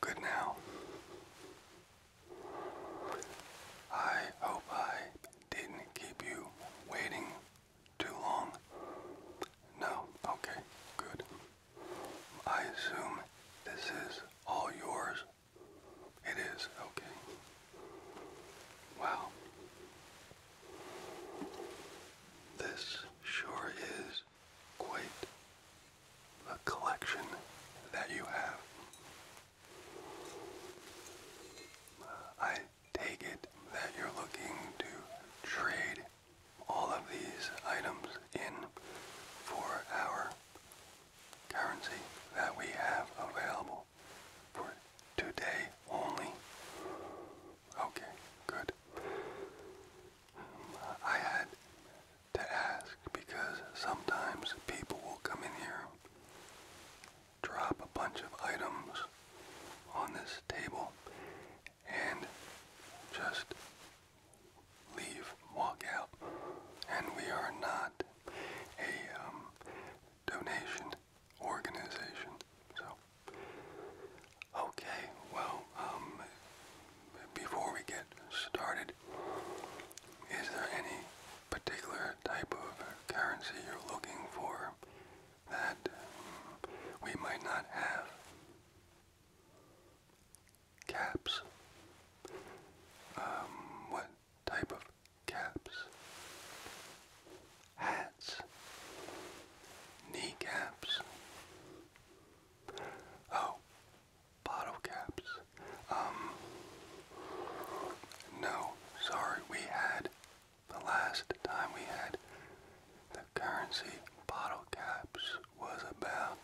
Good now. I hope I didn't keep you waiting too long. No? Okay, good. I assume this is all yours. It is, okay. Wow. This sure is quite a collection that you have. I take it that you're looking to trade all of these items in for our currency that we have available for today only. Okay, good. I had to ask because sometimes people will come in here, drop a bunch of items on this table, and just leave, walk out. And we are not a um, donation organization. So, okay, well, um, before we get started, is there any particular type of currency you're looking for that um, we might not have? caps. Um, what type of caps? Hats. Kneecaps. Oh, bottle caps. Um, no, sorry, we had, the last time we had the currency bottle caps was about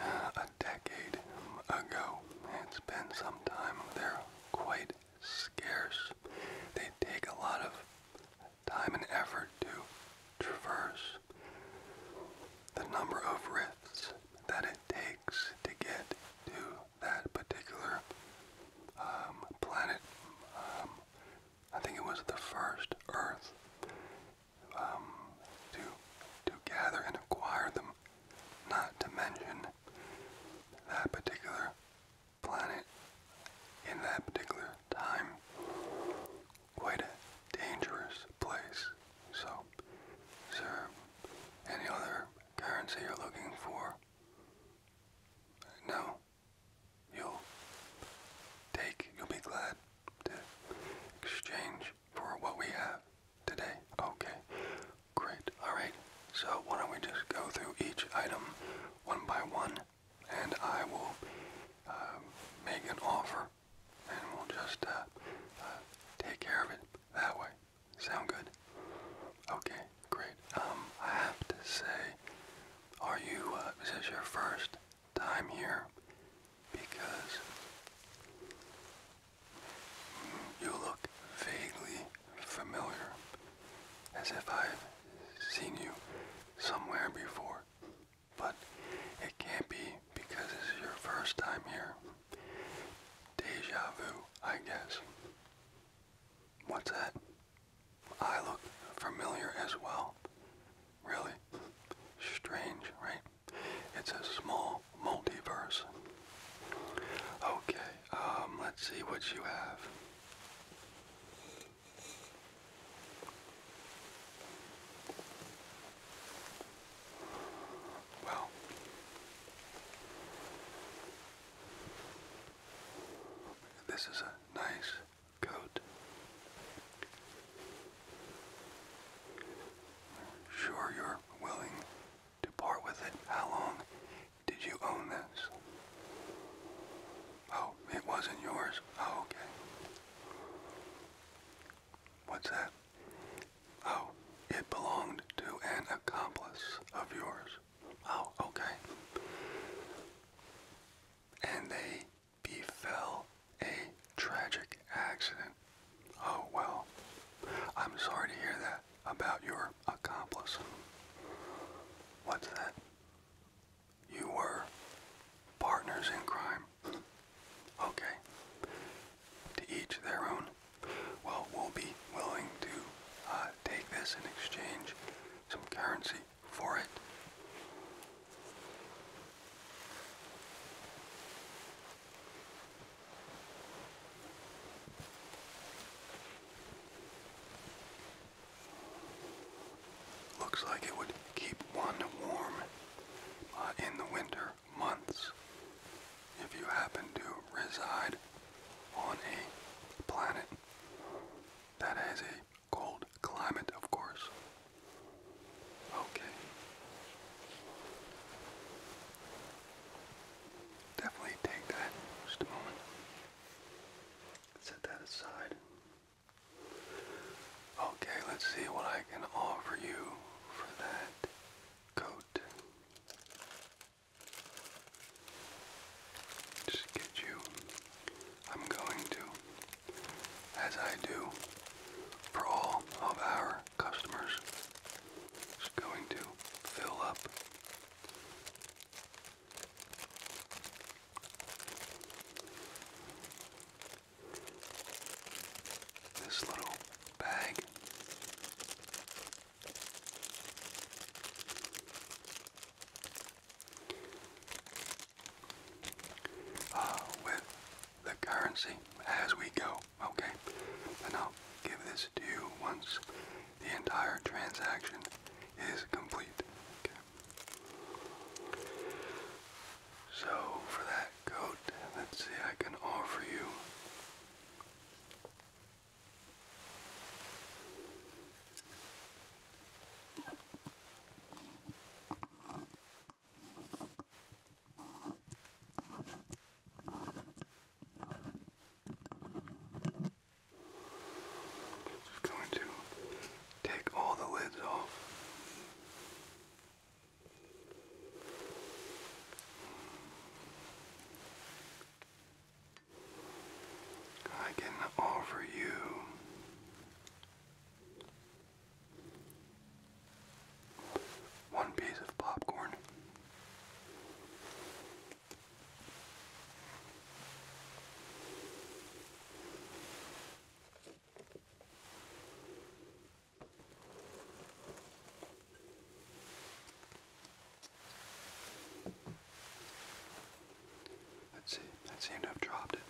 uh, a decade ago. It's been some time. They're quite scarce. They take a lot of time and effort to traverse. The number of rifts that it takes to get to that particular um, planet. Um, I think it was the first Earth um, to to gather and acquire them. Not to mention that particular planet in that particular time. Quite a dangerous place. So, sir, any other currency you're looking for? No you'll take, you'll be glad to exchange for what we have today. Okay, great. All right, so why don't we just go through each item one by one, and I will uh, make an offer, and we'll just uh, uh, take care of it that way. Sound good? Okay, great. Um, I have to say, are you, uh, is your first time here because you look vaguely familiar, as if I've seen you somewhere before. But it can't be because it's your first time here. Deja vu, I guess. What's that? I look familiar as well. Really strange, right? It's a small multiverse. Okay, um, let's see what you have. Well, this is a nice coat, sure you're willing to part with it. How long did you own this? Oh, it wasn't yours. Oh, okay. What's that? Oh, it belonged to an accomplice of yours. Oh, okay. And they befell a tragic accident. Oh well, I'm sorry to hear that about your accomplice. What's that? You were partners in crime. Okay. To each their own. Well, we'll be willing to uh, take this and exchange some currency for it. Looks like it would keep one warm uh, in the winter months if you happen to reside on a planet that has a cold climate, of course. Okay. Definitely take that just a moment. Set that aside. Okay, let's see what I can offer you for that coat. Just get you. I'm going to as I do for all of our customers. It's going to fill up. This little bag. Uh, with the currency as we go. Okay, and I'll give this to you once the entire transaction is complete. So for that coat, let's see, I can offer you. Just going to take all the lids off. I can offer you one piece of popcorn. Let's see, that seemed to have dropped it.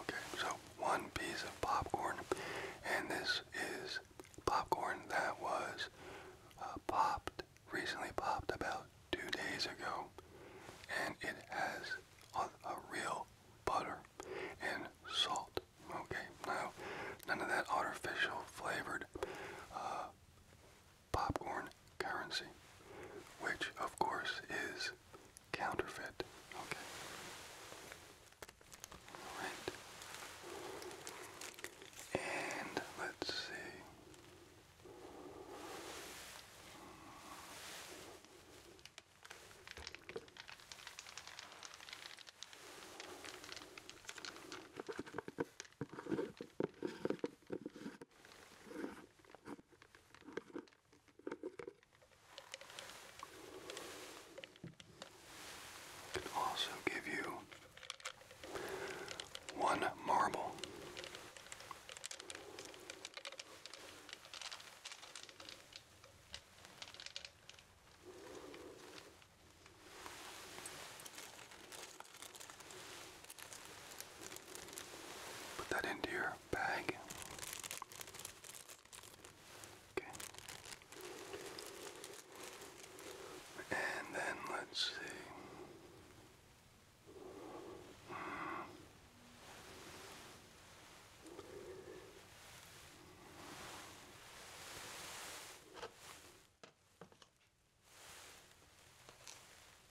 Okay, so one piece of popcorn, and this is popcorn that was uh, popped, recently popped about two days ago, and it has a, a real butter and salt. Okay, now none of that artificial flavored uh, popcorn currency, which of course is counterfeit. Okay. All right. And let's see. Can also give you one marble. Put that into your bag. Okay. And then let's see.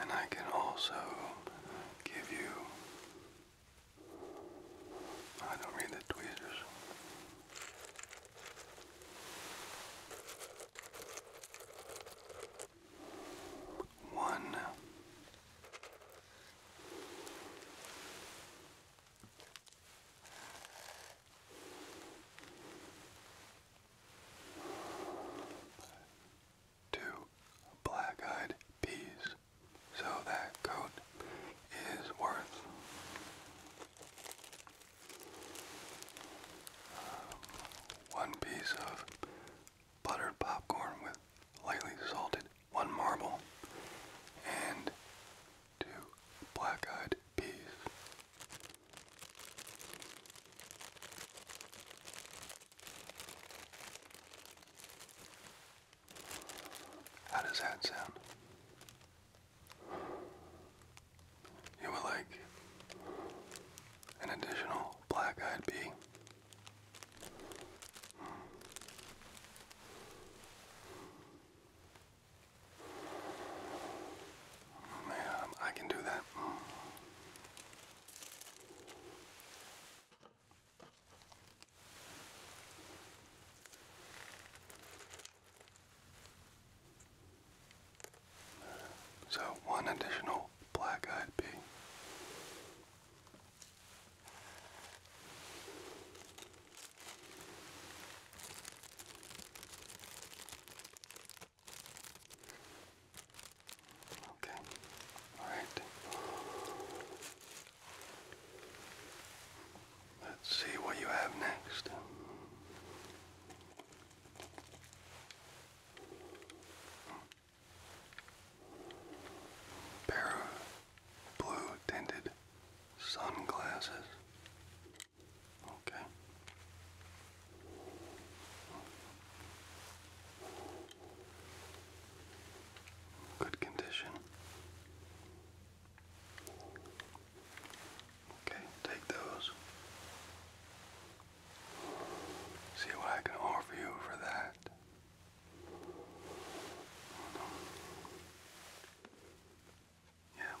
And I can also give you. I don't read the tweezers. One to black-eyed peas. So that coat is worth um, one piece of buttered popcorn with lightly salted one marble and two black-eyed peas. How does that sound? You would like an additional black eyed bee. Yeah, I can do that. So one additional black eyed pea. Okay. All right. Let's see what you have next. Pair of blue tinted sunglasses. Okay. Good condition. Okay, take those. See what I can offer you for that. Yeah.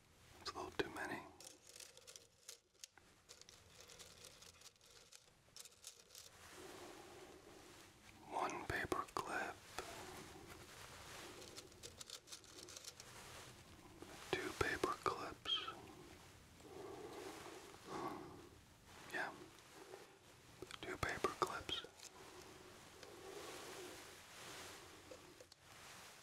It's a little too many. One paper two paper Yeah, two paper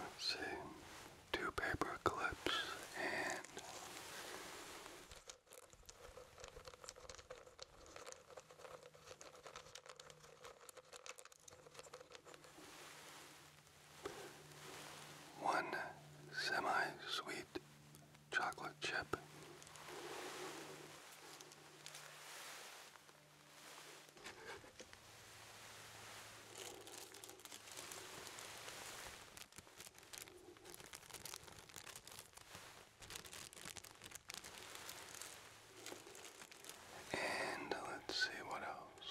Let's see, two paper clips and one semi sweet chocolate chip. And let's see what else.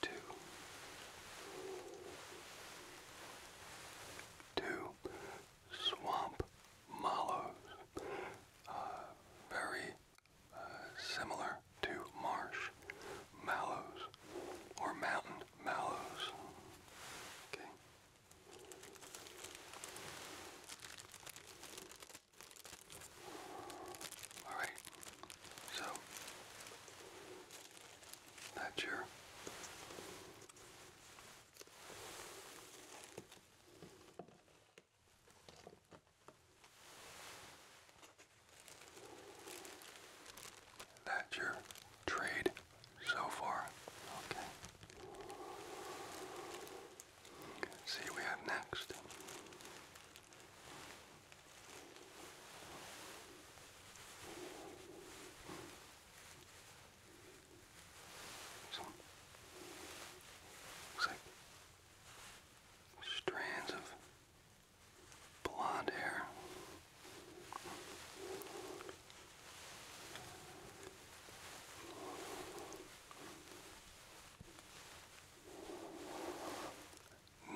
two, two swamp mallows, uh, very uh, similar to marsh mallows or mountain mallows. Okay. Alright, so that's your that's your trade so far. Okay. see we have next. Some looks like strands of blonde hair.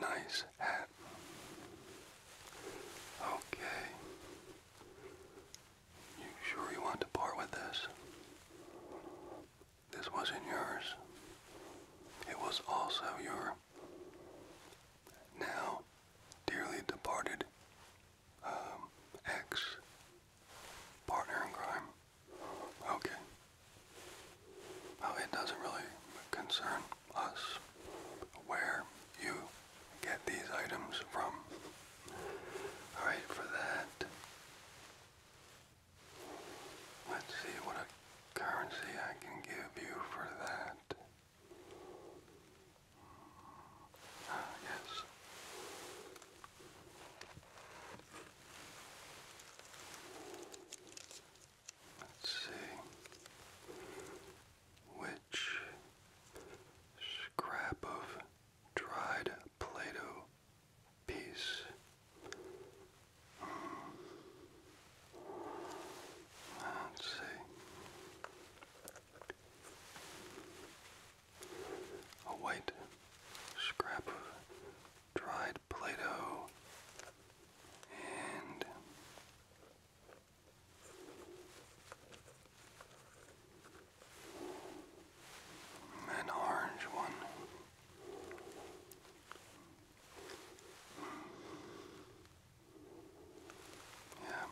Nice hat. Okay. You sure you want to part with this? This wasn't yours. It was also your now dearly departed um, partner in crime. Okay. Well, it doesn't really concern us where you get these items from. Alright, for that, let's see what a currency I can give you for that. Ah, yes. Let's see which scrap of dried Play-Doh piece. Let's see. A white scrap dried Play Doh and an orange one. Yeah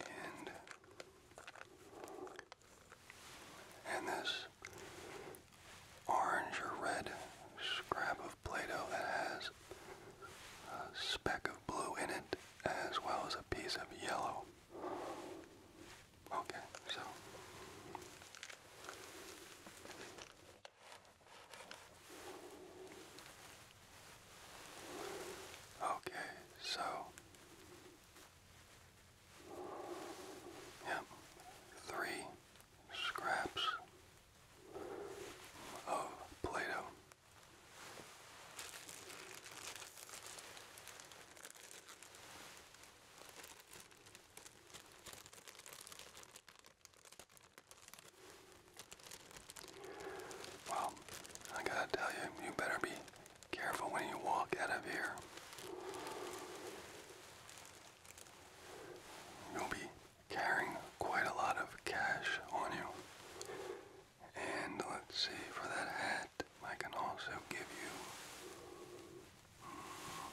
and and this orange red scrap of Play-Doh that has a speck of blue in it as well as a piece of yellow. Okay, so Okay, so Yep, three scraps of Play-Doh. Well, I gotta tell you, you better be careful when you walk out of here. You'll be carrying quite a lot of cash on you. And let's see, for that hat, I can also give you. Hmm,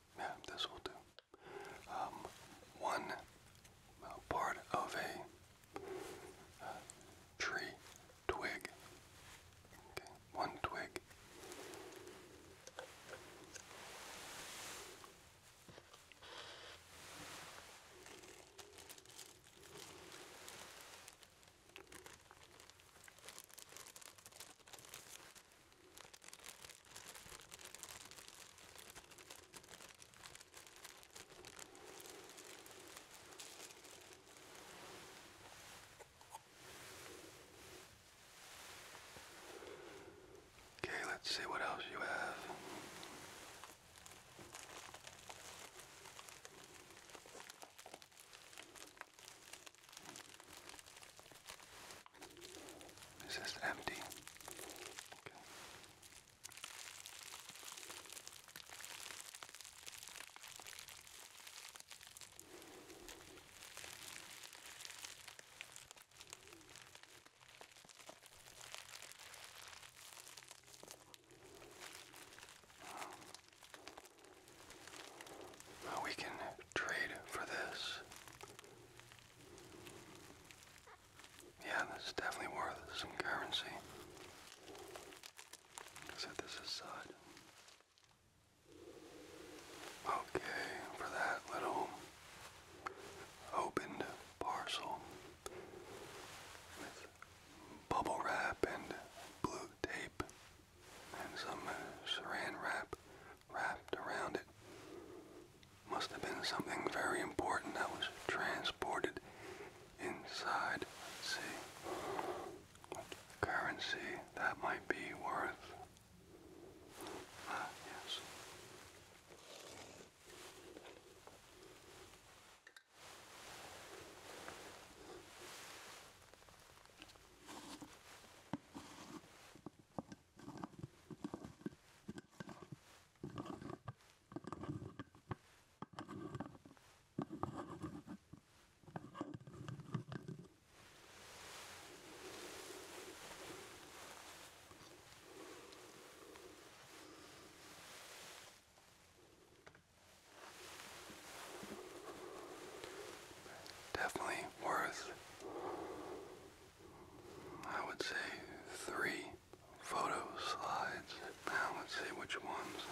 Yeah, this will do. Um, one uh, part of a uh, tree twig. Okay, one twig. Okay, let's see what else you have. This is empty. we can trade for this. Yeah, this is definitely worth some currency. Set this aside. Okay, for that little opened parcel with bubble wrap and blue tape and some uh, saran wrap wrapped around it. Must have been something very important that was transported inside. see. Currency that might be worth. Ah, yes. Definitely worth I would say three photo slides. Now let's see which ones.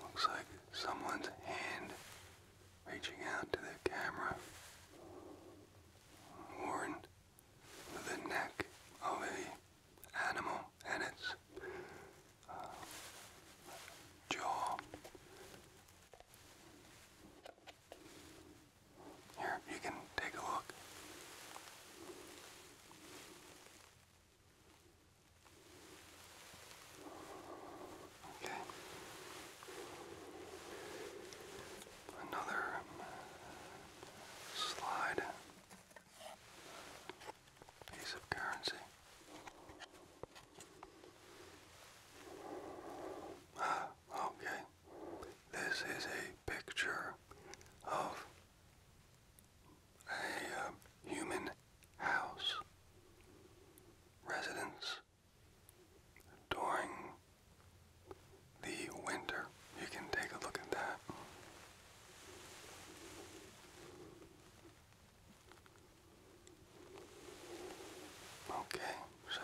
Looks like someone's hand reaching out to the camera. Warren the neck of a animal and its uh, jaw. Here, you can take a look. Okay another slide piece of currency. Ah, okay. This is a picture of a uh, human house residence during the winter. You can take a look at that. Okay, so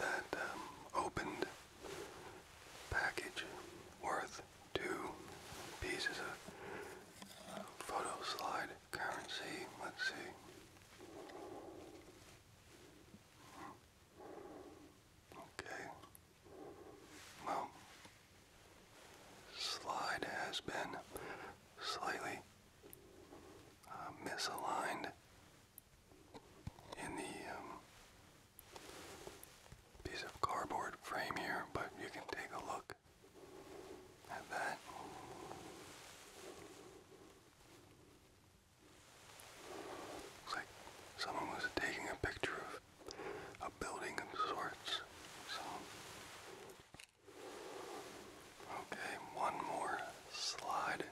that um, opened package worth two pieces of uh, photo slide currency. Let's see. Okay. Well, slide has been slightly uh, misaligned in the um, piece of cardboard frame here, but you can take a look at that. Looks like someone was taking a picture of a building of sorts. Okay, one more slide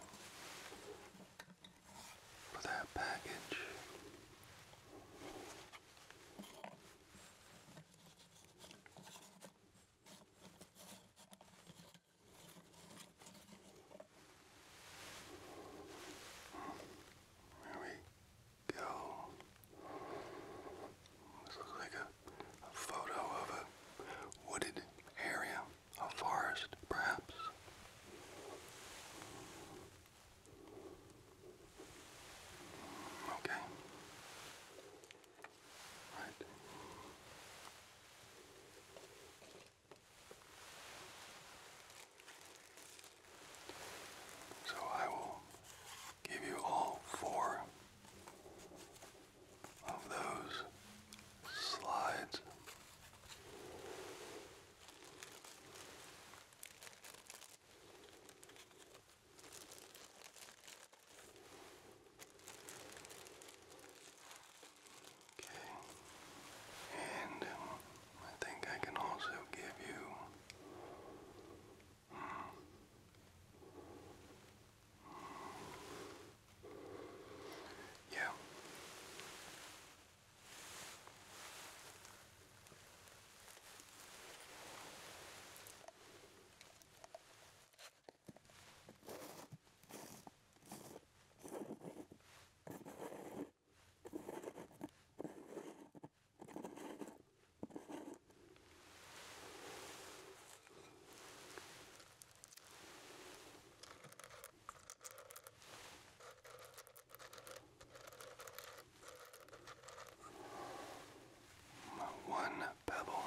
for that package. There we go. This looks like a, a photo of a wooded area, a forest perhaps. Okay. Right. So I will give you all four of those slides. Okay, and um, I think I can also give you hmm, yeah. One pebble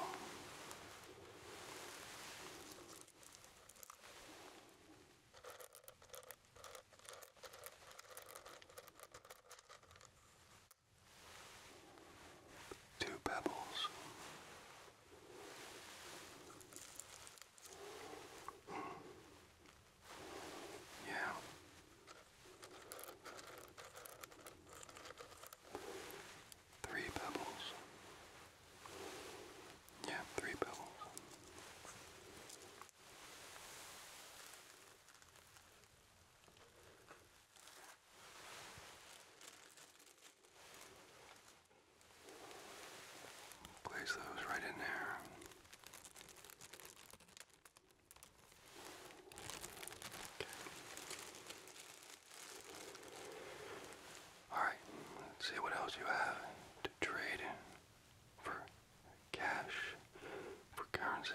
Two pebbles. Mm. Yeah. Three pebbles. Yeah, three pebbles. Place those right in there. Okay. Alright, let's see what else you have to trade for cash, for currency.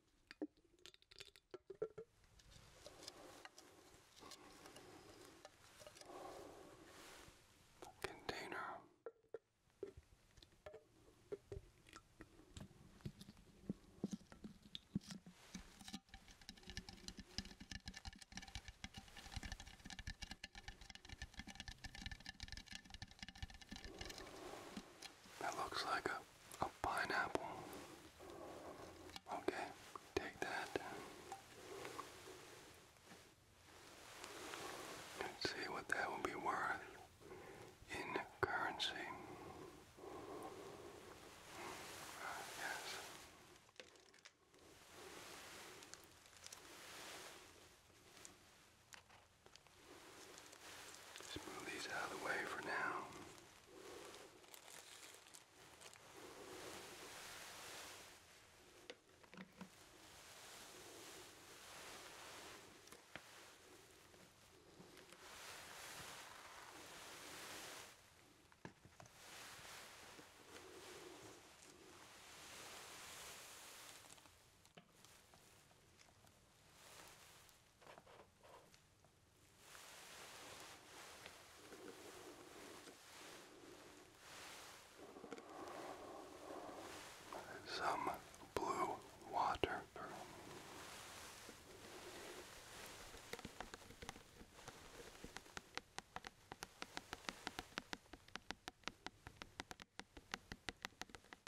container. That looks like a a pineapple. Okay, take that. see what that will be worth in currency. yes. Just move these out of the way for now. Some blue water.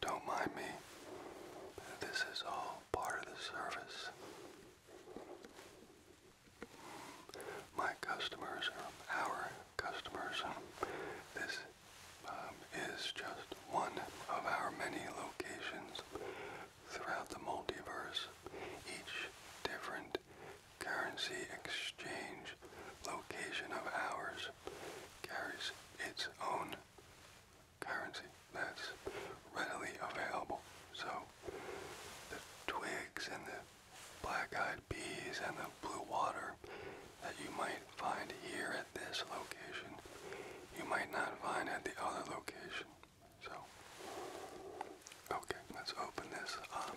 don't mind me. This is all part of the service. My customers are our customers. This um, is just one of our many locations throughout the multiverse, each different currency exchange location of ours carries its own currency that's readily available. So the twigs and the black-eyed bees and the blue water that you might find here at this location, you might not find at the other location. So, okay, let's open this up.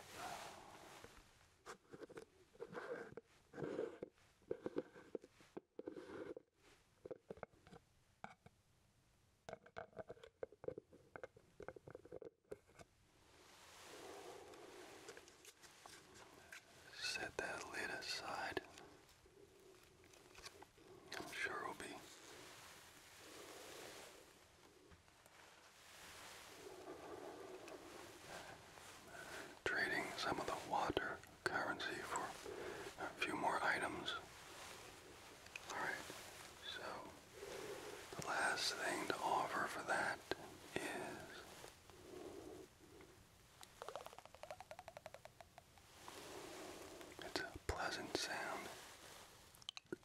Set that lid aside. I'm sure it'll be. Trading some of the water currency for a few more items. Alright, so the last thing to offer for that is it's a pleasant sound.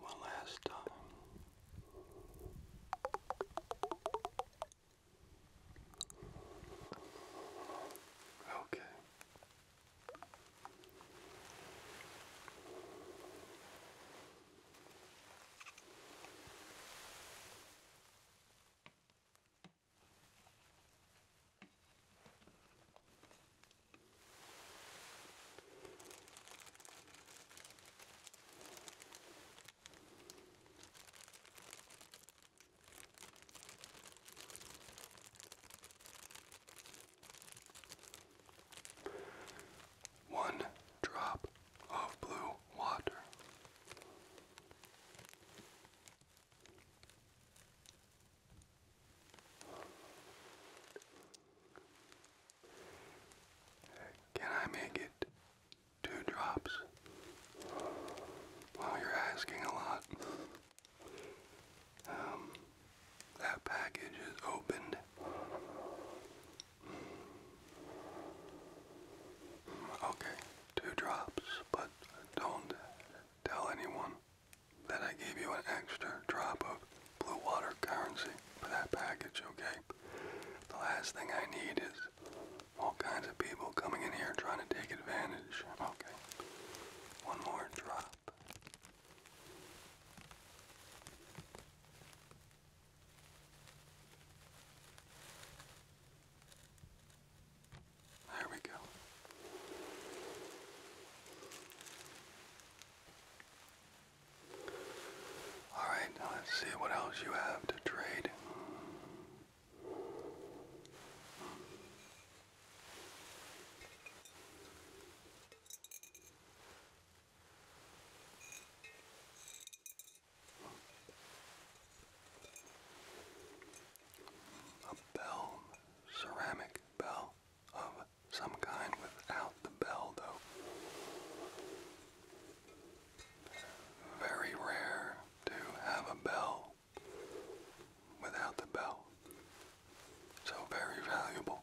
one last time. Okay. One drop of blue water. Can I make it two drops? Well, you're asking a lot. Um, that package is opened. Mm, okay, two drops, but don't tell anyone. Then I gave you an extra drop of blue water currency for that package, okay? The last thing I need is all kinds of people coming in here trying to take advantage, okay? One more drop. There we go. Alright, let's see what else you have to trade. A bell, ceramic bell of some kind without the bell, though. Very rare to have a bell without the bell. So very valuable.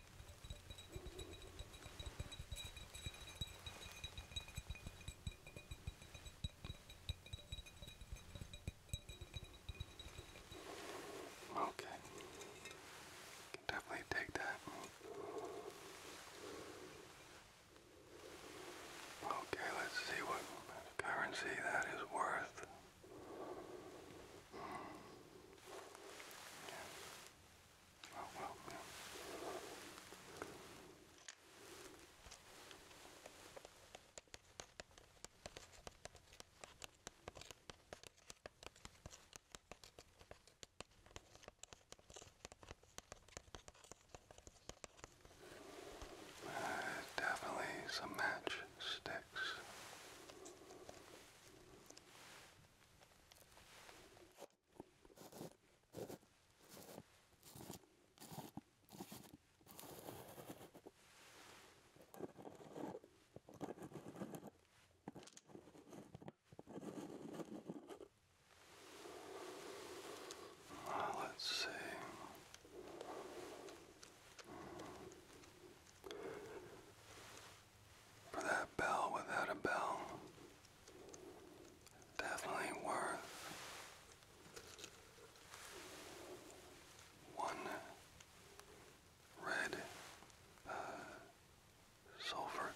Okay. Can definitely take that. Okay, let's see what currency that is worth. Yeah. Oh, definitely some match uh, let's see for that bell without a bell. Definitely worth one red uh,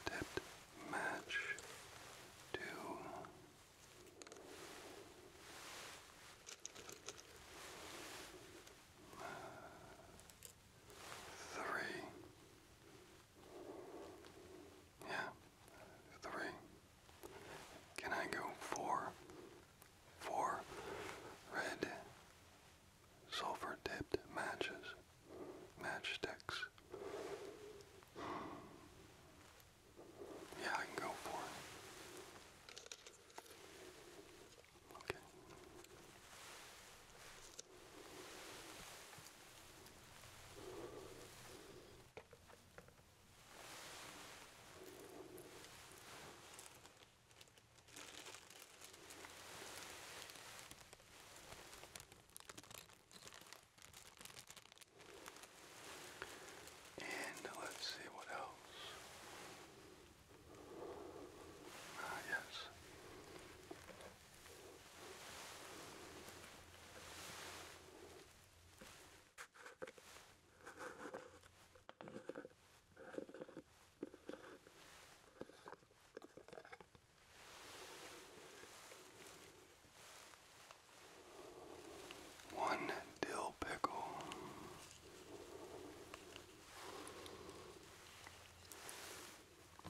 tipped match to three. Yeah, three. Can I go four? Four red sulfur dipped matches, matchsticks. Yeah, I can go for Okay. And let's see what else. Ah, yes. One dill pickle we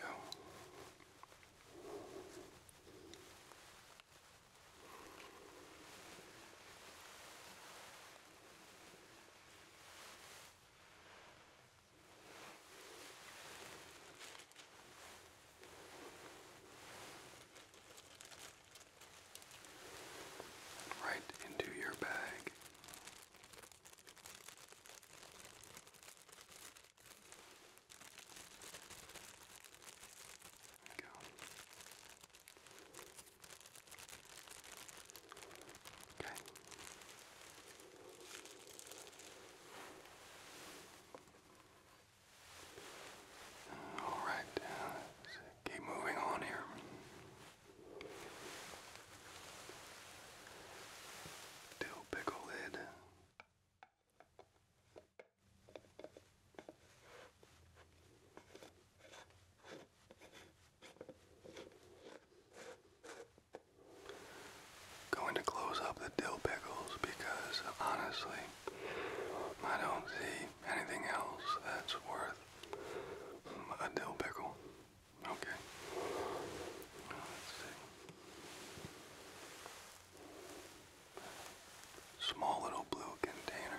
go right into your bag. There we go. Okay. All right, uh, let's keep moving on here. Dill pickle lid. Going to close up the dill pickles because honestly, I don't see anything else that's worth a dill pickle. Okay. Small little blue container.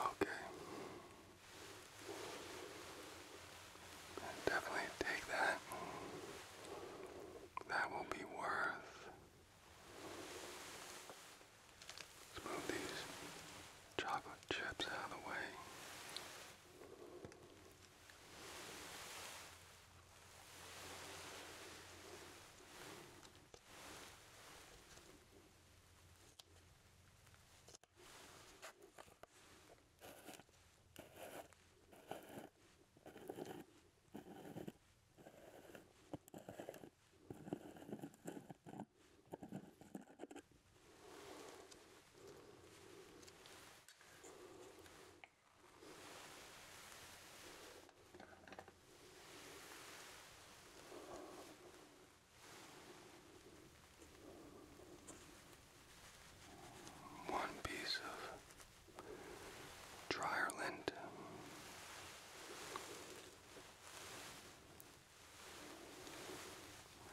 Okay. Definitely take that. That will be worth Let's move these chocolate chips out of the way. One piece of dryer lint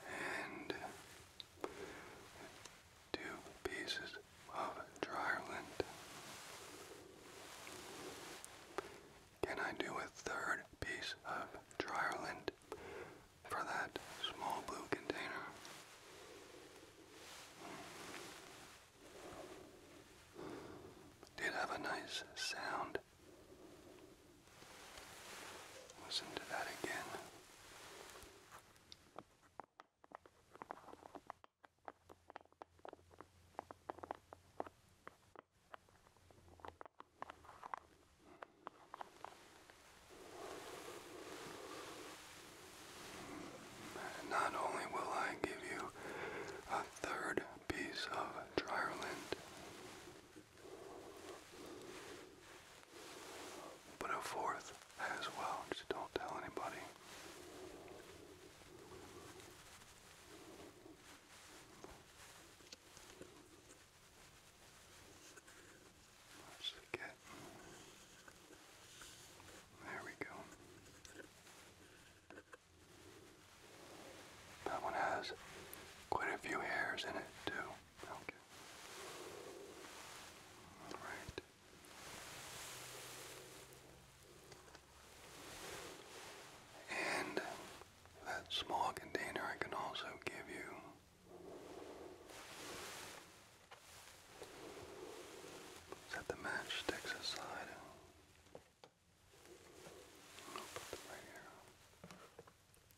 and two pieces of dry lint. Can I do a third piece of dryer lint for that small blue container? Did have a nice sound Listen to that again. Not only will I give you a third piece of dryland, but a fourth as well, don't tell anybody. Let's get there we go. That one has quite a few hairs in it too. Okay. All right. And that small container I can also give you. Set the matchsticks aside. I'll put them right here.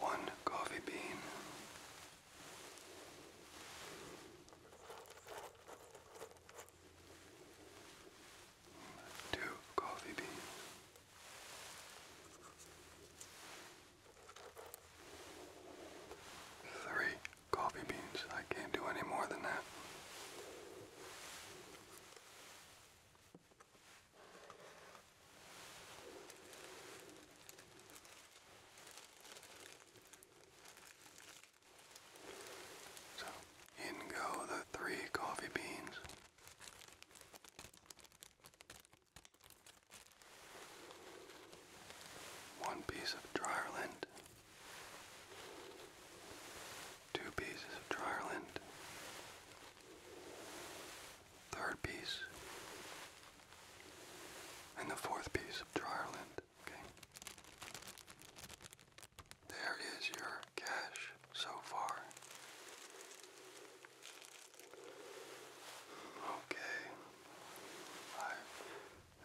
One coffee bean. Two coffee beans. Three coffee beans. I can't do any more than that. So, in go the three coffee beans. One piece of dryer lint, two pieces of dryer lint, third piece, and the fourth piece of dryer lint. Okay. There is your cash so far. Okay. i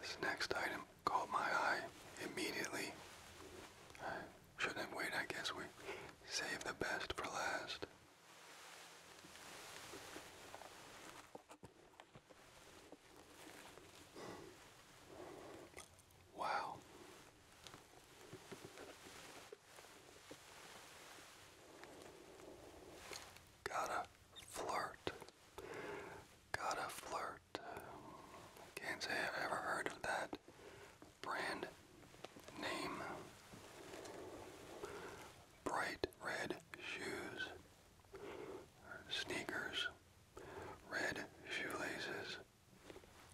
this next item caught my eye immediately. shouldn't have I guess we saved the best for last. Wow. Gotta flirt. Gotta flirt. Can't say I've ever heard of that brand name. Bright red shoes, sneakers, red shoelaces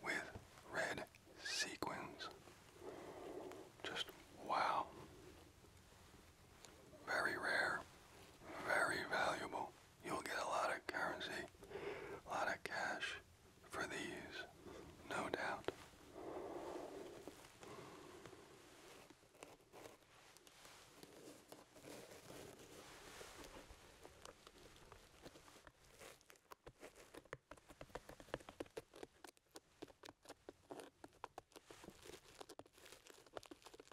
with red sequins. Just wow. Very rare, very valuable. You'll get a lot of currency, a lot of cash for these, no doubt.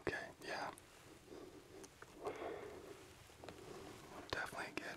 Okay, yeah. Definitely get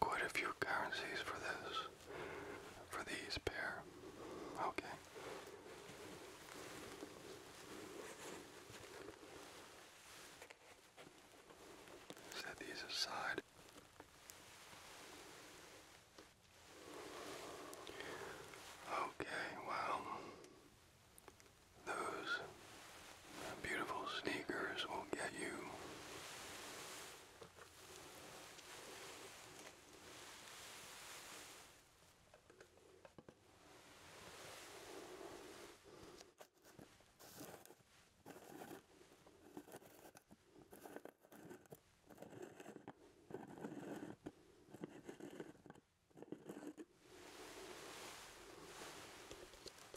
quite a few currencies for this, for these pair. Okay. Set these aside. Okay, well, those Beautiful sneakers will get you.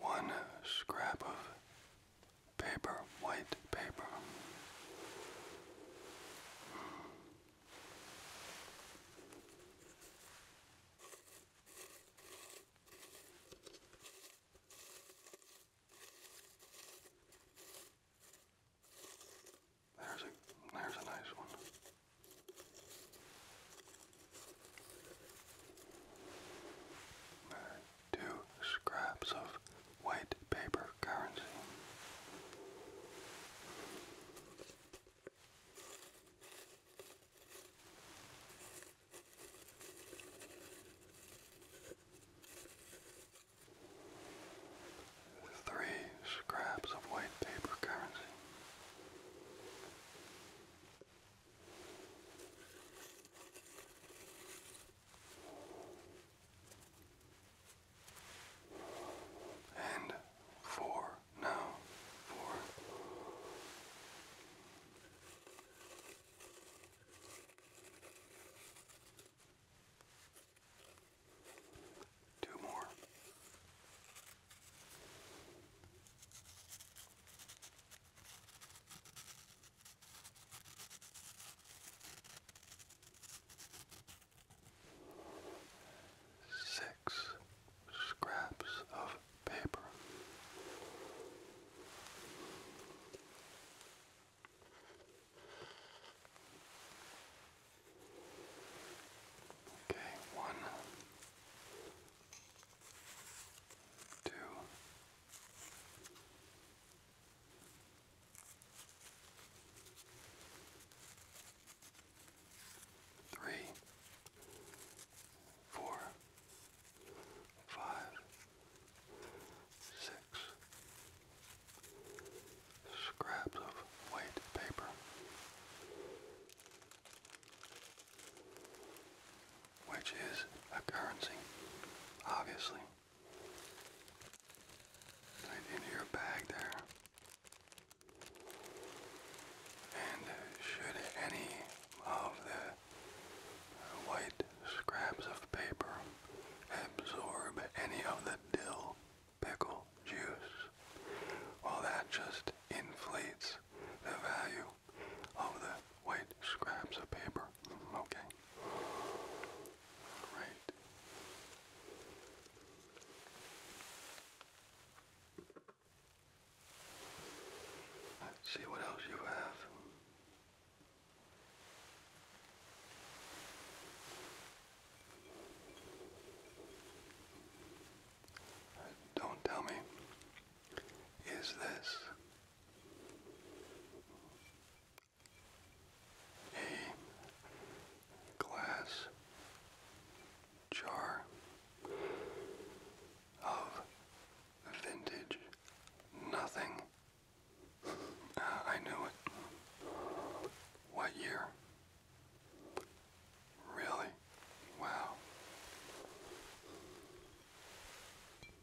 One scrap of paper, white paper. There's a there's a nice one two scraps of white paper currency. Three scraps of white paper currency. And four now, four. Two more. Six scraps of paper. Okay, one, two, three, four, five, six scraps of white paper which is a currency, obviously. Right into your bag there. And should any of the white scraps of paper absorb any of the dill pickle juice, well that just inflates the value of oh, the white scraps of paper. Mm, okay. Right. Let's see what else you have. Uh, don't tell me, is this a glass jar of vintage nothing. I knew it. What year? Really? Wow.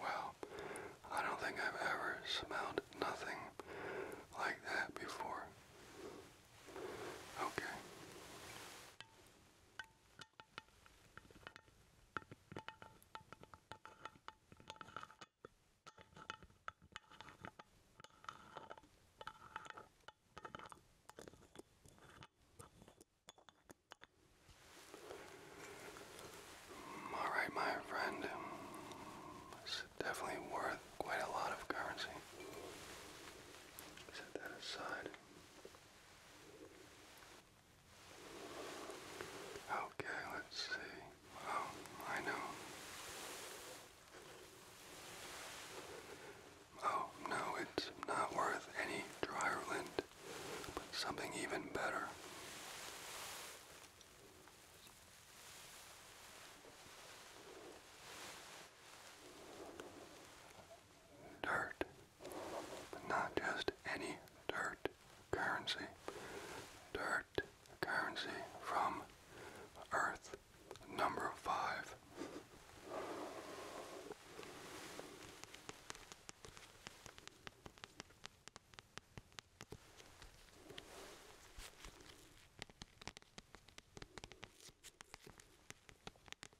Well, I don't think I've ever smelled nothing like that before. Okay. All right, my friend. definitely worth quite a lot of currency. Set that aside. Okay, let's see. Oh, I know. Oh, no, it's not worth any dryer lint, but something even better dirt, but not just any dirt currency. Dirt currency from Earth, number five.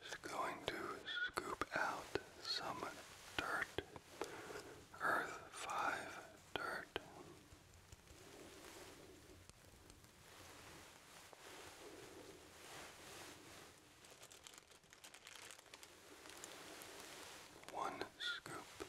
Just going to scoop out some dirt, Earth 5 dirt. One scoop.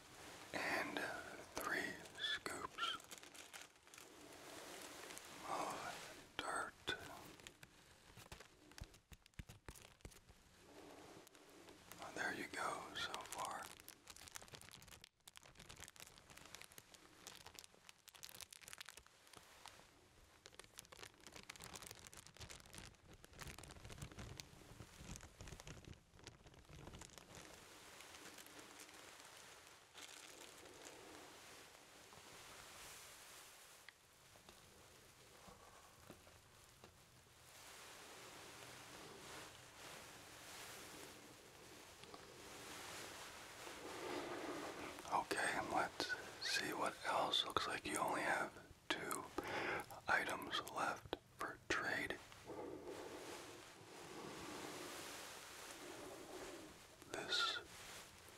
and uh, three scoops of dirt. there you go so far. Okay, let's see what else. Looks like you only have two items left for trade. This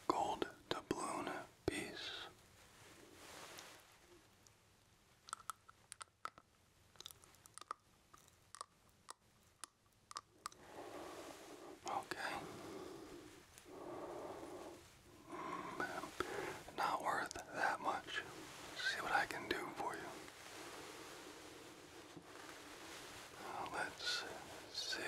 gold doubloon piece Okay. not worth that much. See what I can do for you. Let's see.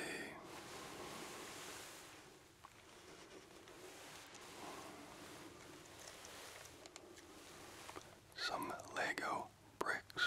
Some Lego bricks.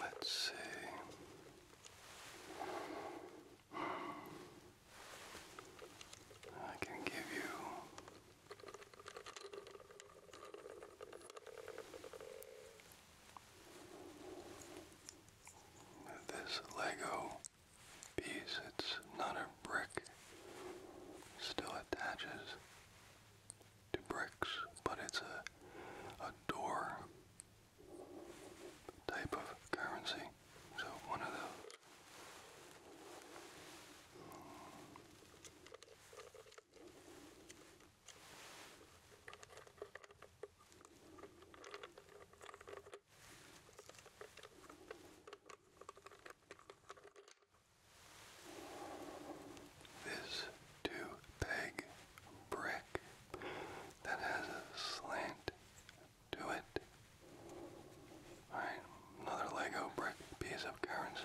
Let's see. I can give you this Lego piece, it's not a brick, still attaches to bricks, but it's a, a door type of currency. So one of those. This two peg brick that has a slant to it. Alright another Lego brick piece of currency.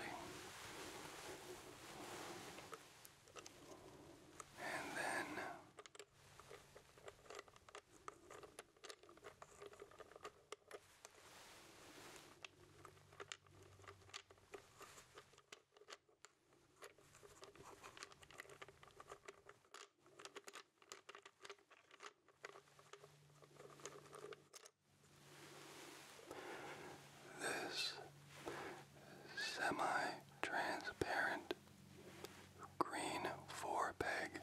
And then this semi-transparent green four-peg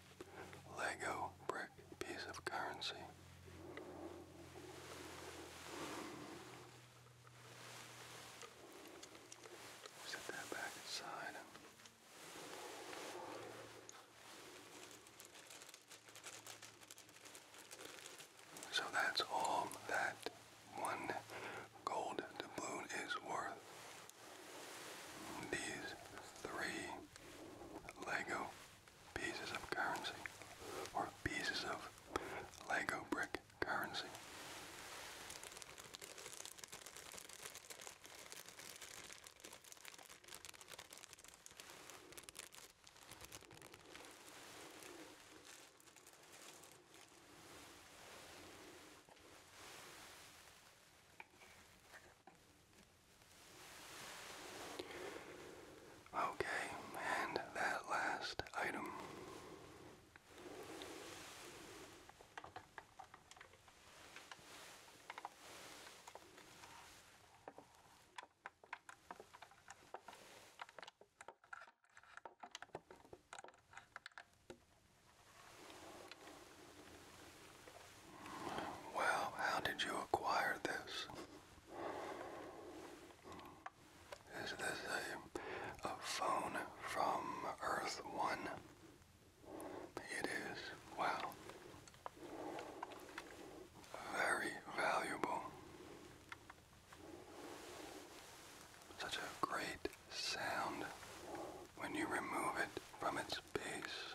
Lego brick piece of currency. Set that back aside. So that's all that one gold doubloon is worth. These three Lego pieces of currency, or pieces of Lego brick currency. Okay, and that last item. Well, how did you acquire this? Is this a, phone from Earth One? It is. Wow. Very valuable. Such a great sound when you remove it from its base.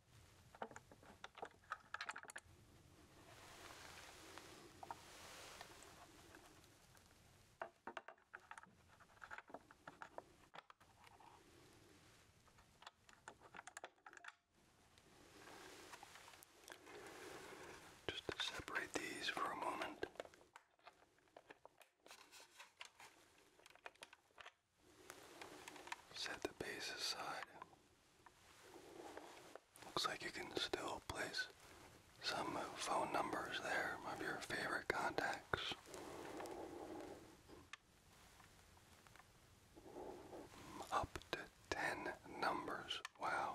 Just to separate these for a moment. Set the base aside. Looks like you can still place some phone numbers there of your favorite contacts. Up to 10 numbers. Wow.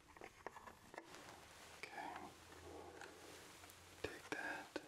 Okay. Take that. Okay.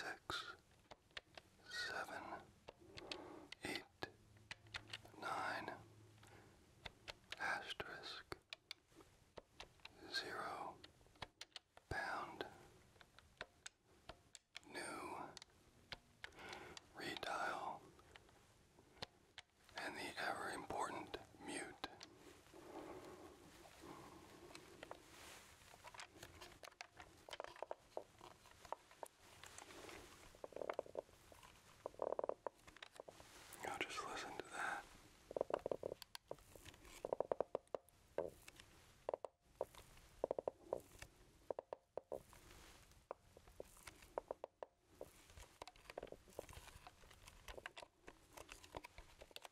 six, seven, eight, nine, asterisk, zero, pound, new, redial, and the ever important mute. Now just listen to that.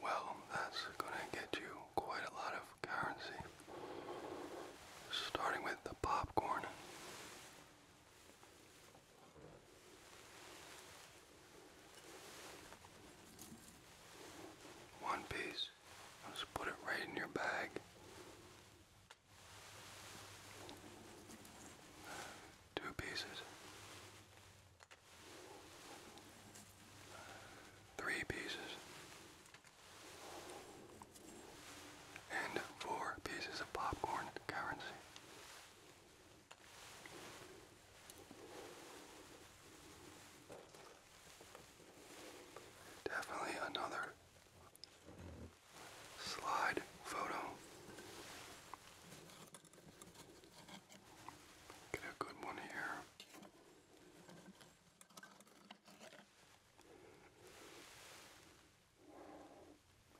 Well, that's going to get you quite a lot of currency, starting with the popcorn. One piece. just put it right in your bag. Two pieces. Three pieces and four pieces of popcorn currency. Definitely another slide photo. Get a good one here.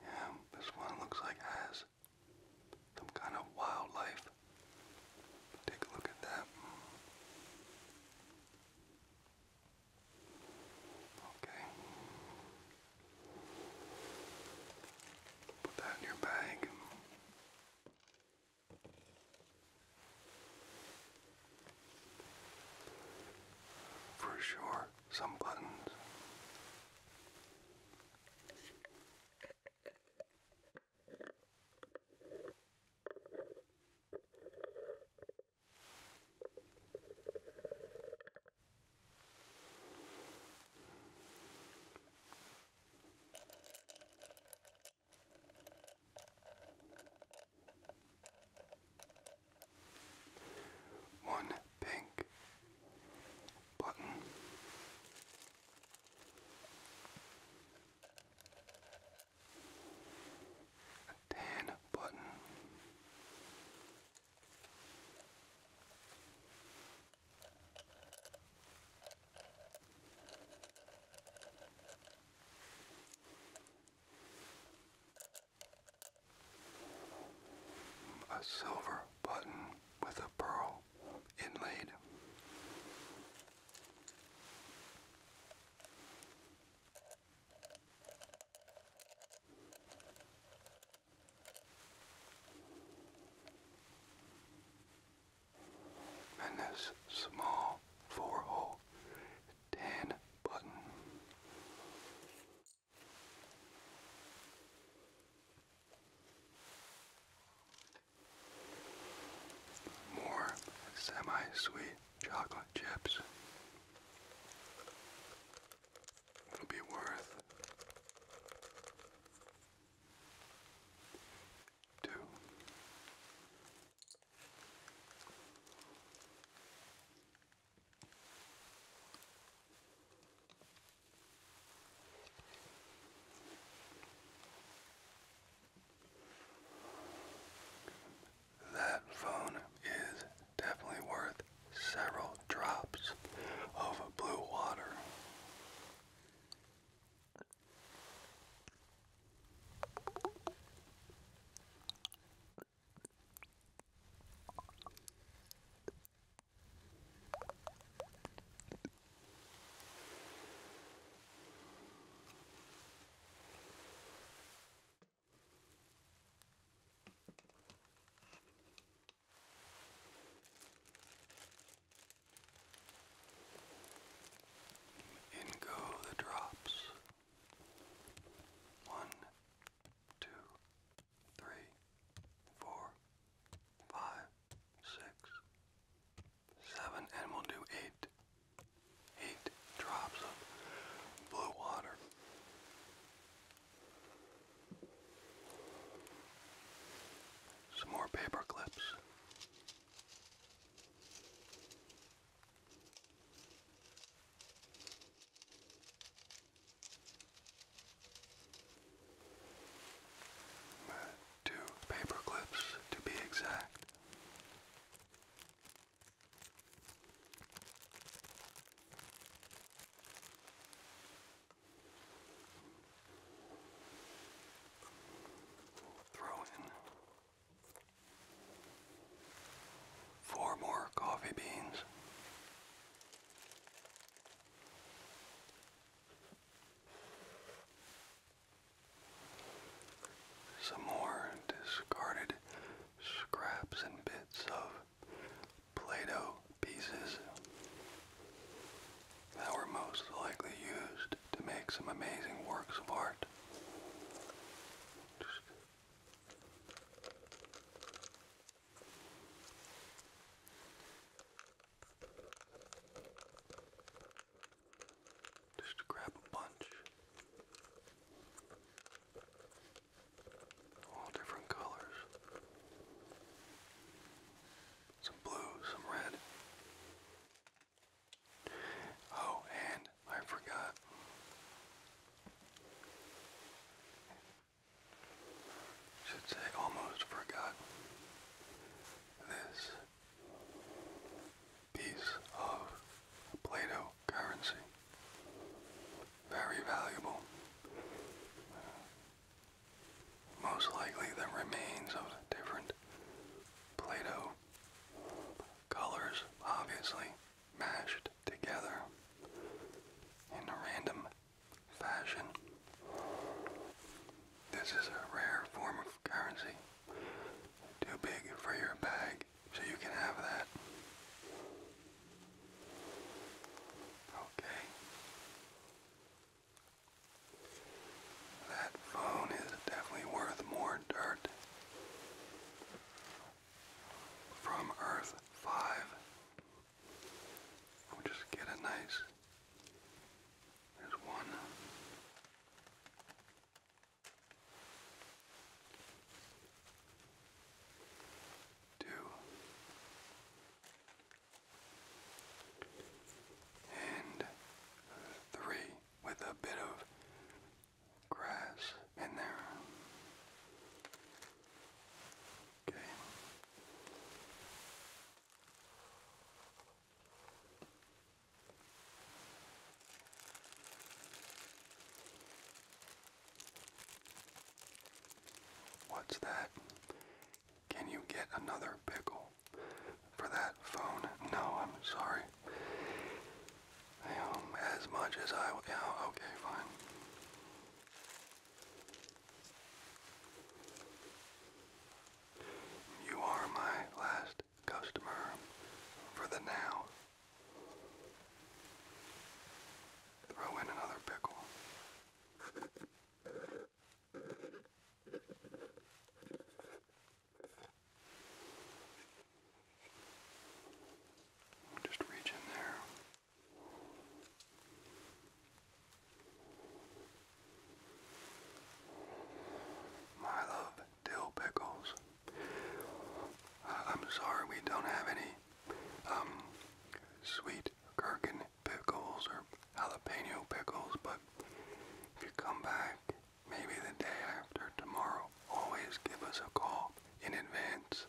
Yeah, this one looks like has some kind of wildlife. Take a look at that. Okay. Put that in your bag. For sure, some buttons. One pink button. A tan button. A silver button with a pearl inlaid. And this small four hole tan button. More semi-sweet chocolate chips. It'll be worth two that phone is definitely worth several drops of blue water. In go the drops. One, two, three, four, five, six, seven, and we'll do eight. Eight drops of blue water. Some more paper clips. Two paper clips to be exact. Throw in Four more coffee beans. Some more discarded scraps and bits of Play-Doh pieces that were most likely used to make some amazing works of art. Just just grab a bunch, all different colors some blue, some red. Oh, and I forgot. Should say almost forgot this piece of play currency. Very valuable. Most likely the remains of different play colors, obviously, mashed together in a random fashion. This is a rare form of currency, too big for your bag, so you can have that. Okay. That phone is definitely worth more dirt from Earth 5. we just get a nice, there's one. Two and three with a bit of grass in there. Okay. What's that? Can you get another pickle for that phone? No, I'm sorry as much as I will. Yeah, okay, fine. You are my last customer for the now. Throw in another pickle. Just reach in there. My love, dill pickles. I'm sorry we don't have any um, sweet gherkin pickles or jalapeno pickles, but if you come back maybe the day after tomorrow, always give us a call in advance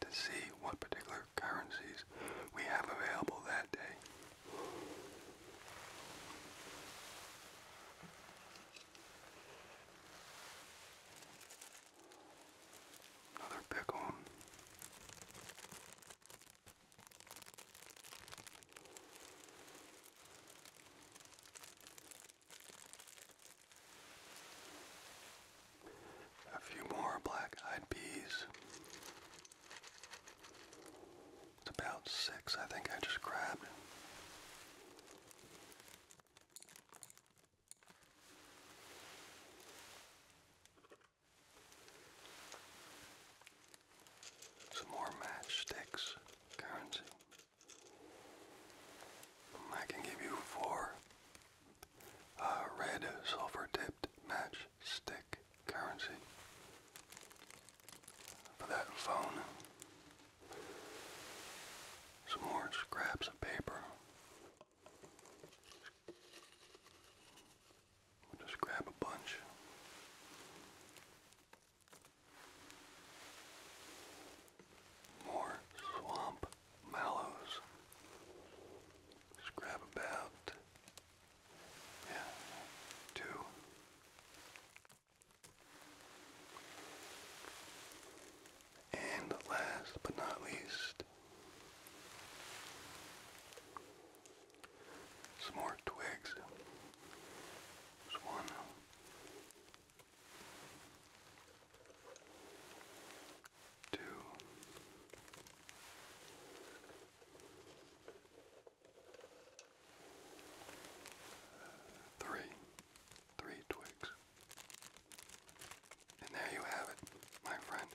to see what particular currencies we have available that day. Another pick on. A few more black-eyed peas. It's about six, I think I just grabbed. Some more matchsticks currency. I can give you four a red sulfur tipped matchstick currency that phone. Some more scraps of paper. just grab a bunch. More swamp mallows. Just grab about, yeah, two. And last but not least, some more twigs. There's one two, twigs. And there you have it, my friend.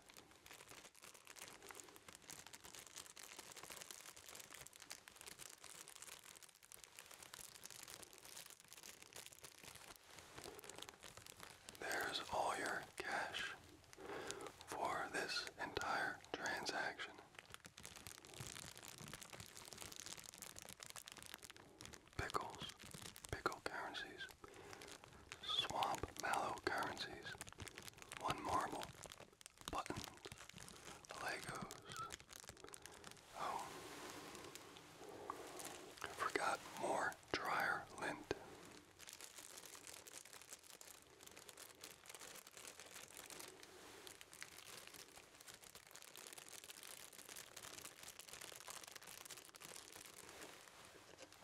There's all your cash for this entire transaction. Pickles, pickle currencies, swamp mallow currencies, one marble, buttons, Legos. Oh, forgot more dryer lint.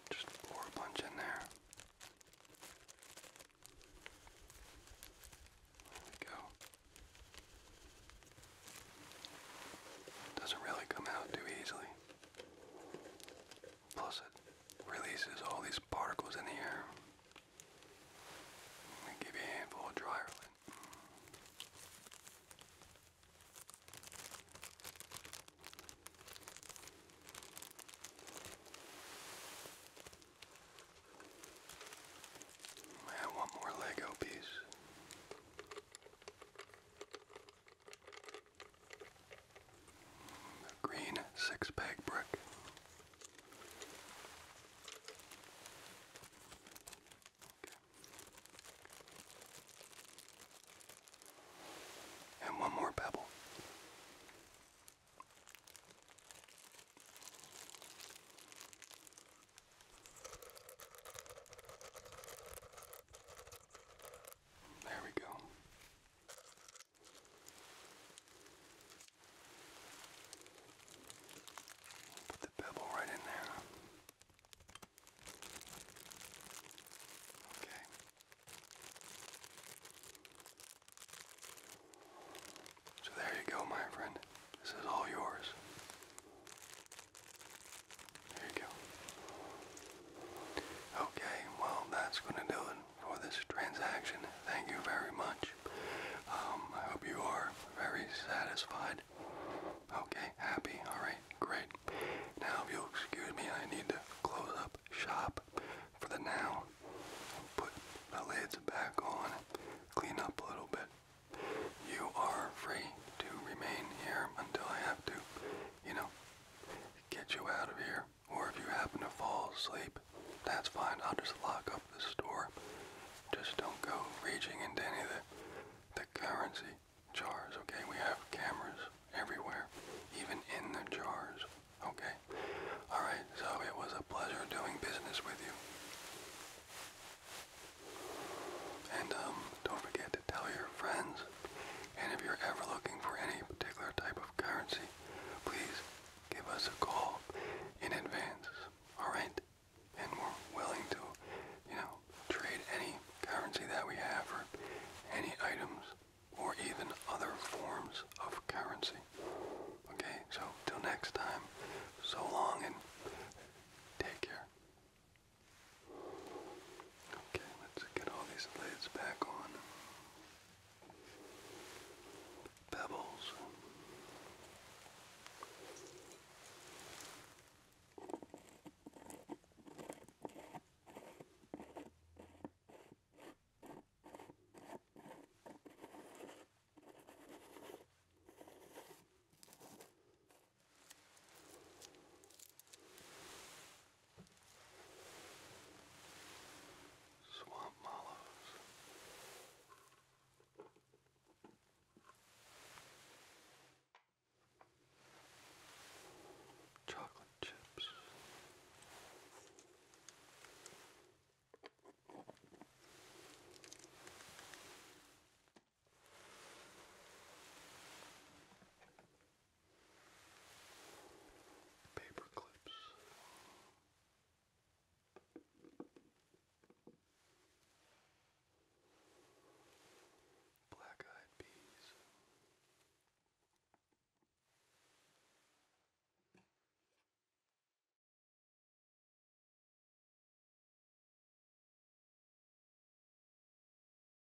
Just pour a bunch in there. There we go. Doesn't really come out too easily. Plus, it releases all these particles in the air. Let me give you a handful of dryer lint. I have one more Lego piece. A green six pack brick. And one more pebble. There we go. Put the pebble right in there. Okay. So there you go, my friend. This is all yours. There you go. Okay, well, that's going to do it for this transaction. Thank you very much. Um, I hope you are very satisfied. Okay, happy. Alright, great. Now, if you'll excuse me, I need to close up shop for the now. Put the lids back on, clean up a little bit. You are free to remain here until I have to, you know get you out of here. Or if you happen to fall asleep, that's fine. I'll just lock up the store. Just don't go raging into any of the, the currency jars, okay? We have cameras everywhere, even in the jars, okay? Alright, so it was a pleasure doing business with you. And um, don't forget to tell your friends and if you're ever looking for any particular type of currency, please give us a call in advance. Alright? And we're willing to, you know, trade any currency that we have for any items or even other forms of currency. Okay, so till next time, so long and take care. Okay, let's get all these lids back on. Pebbles. Swamp Mallows. Chocolate chips paper clips. Black eyed peas.